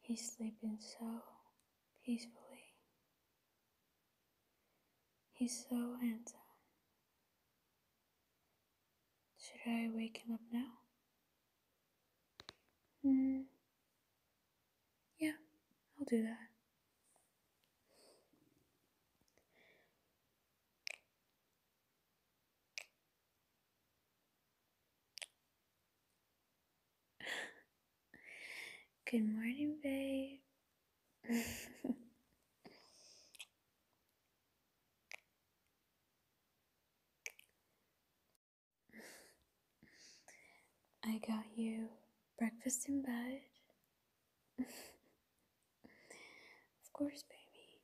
He's sleeping so peacefully. He's so handsome. Should I wake him up now? Hmm. Yeah, I'll do that. Good morning, babe. I got you breakfast in bed. Of course, baby.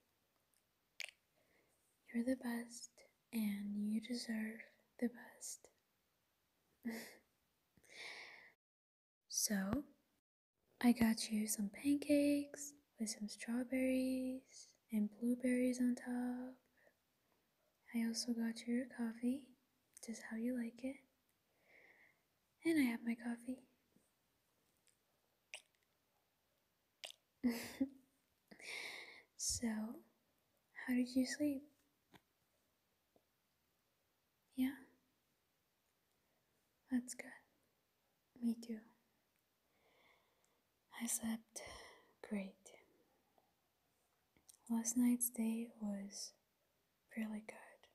You're the best and you deserve the best. so, I got you some pancakes with some strawberries and blueberries on top. I also got you your coffee, just how you like it. And I have my coffee. so, how did you sleep? Yeah? That's good. Me too. I slept great. Last night's day was really good.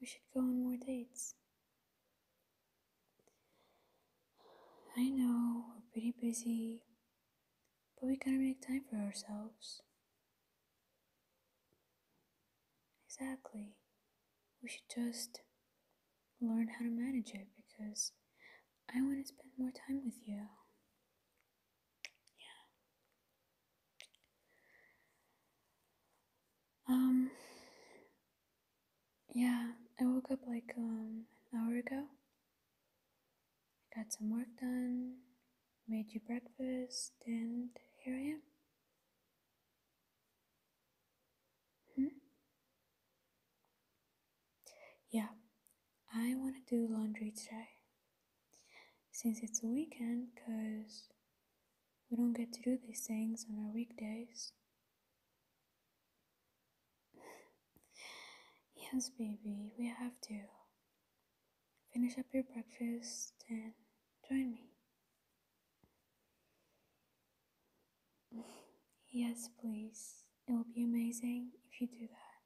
We should go on more dates. I know we're pretty busy, but we gotta make time for ourselves. Exactly. We should just learn how to manage it because I want to spend more time with you. Yeah. Um. Yeah, I woke up like um, an hour ago. got some work done, made you breakfast, and here I am. Hmm? Yeah, I want to do laundry today since it's a weekend because we don't get to do these things on our weekdays. yes, baby, we have to. Finish up your breakfast and join me. yes, please. It will be amazing if you do that.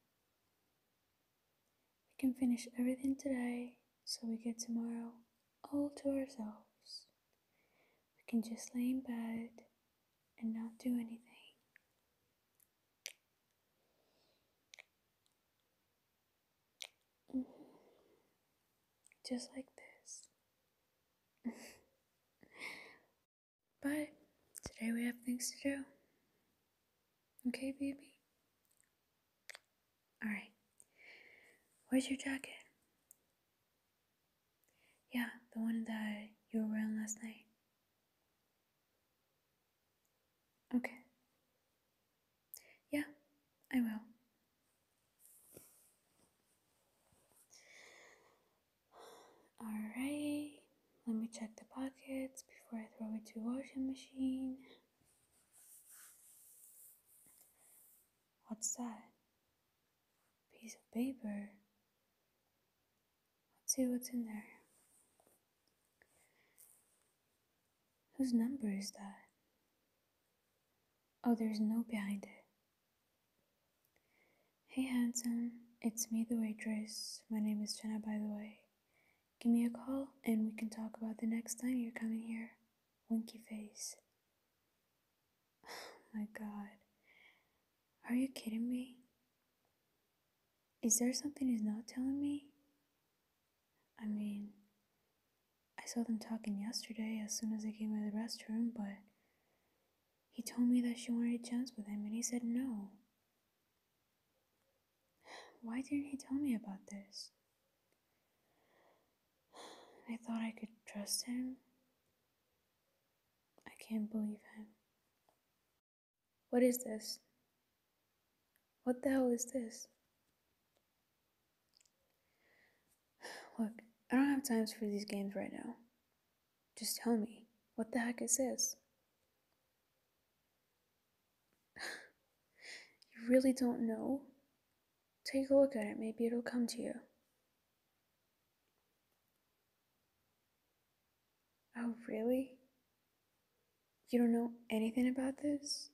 We can finish everything today so we get tomorrow all to ourselves. We can just lay in bed and not do anything. Mm-hmm. Just like this. But today we have things to do. Okay, baby? Alright. Where's your jacket? Yeah, the one that you were wearing last night. Okay. Yeah, I will. Alright, let me check the pockets before I throw it to washing machine. What's that? Piece of paper. Let's see what's in there. Whose number is that? Oh, there's no behind it. Hey handsome, it's me the waitress. My name is Jenna by the way. Give me a call and we can talk about the next time you're coming here. Winky face. Oh my god. Are you kidding me? Is there something he's not telling me? I mean, I saw them talking yesterday as soon as they came to the restroom, but he told me that she wanted a chance with him, and he said no. Why didn't he tell me about this? I thought I could trust him. I can't believe him. What is this? What the hell is this? Look, I don't have time for these games right now. Just tell me, what the heck is this? you really don't know? Take a look at it, maybe it'll come to you. Oh, really? You don't know anything about this?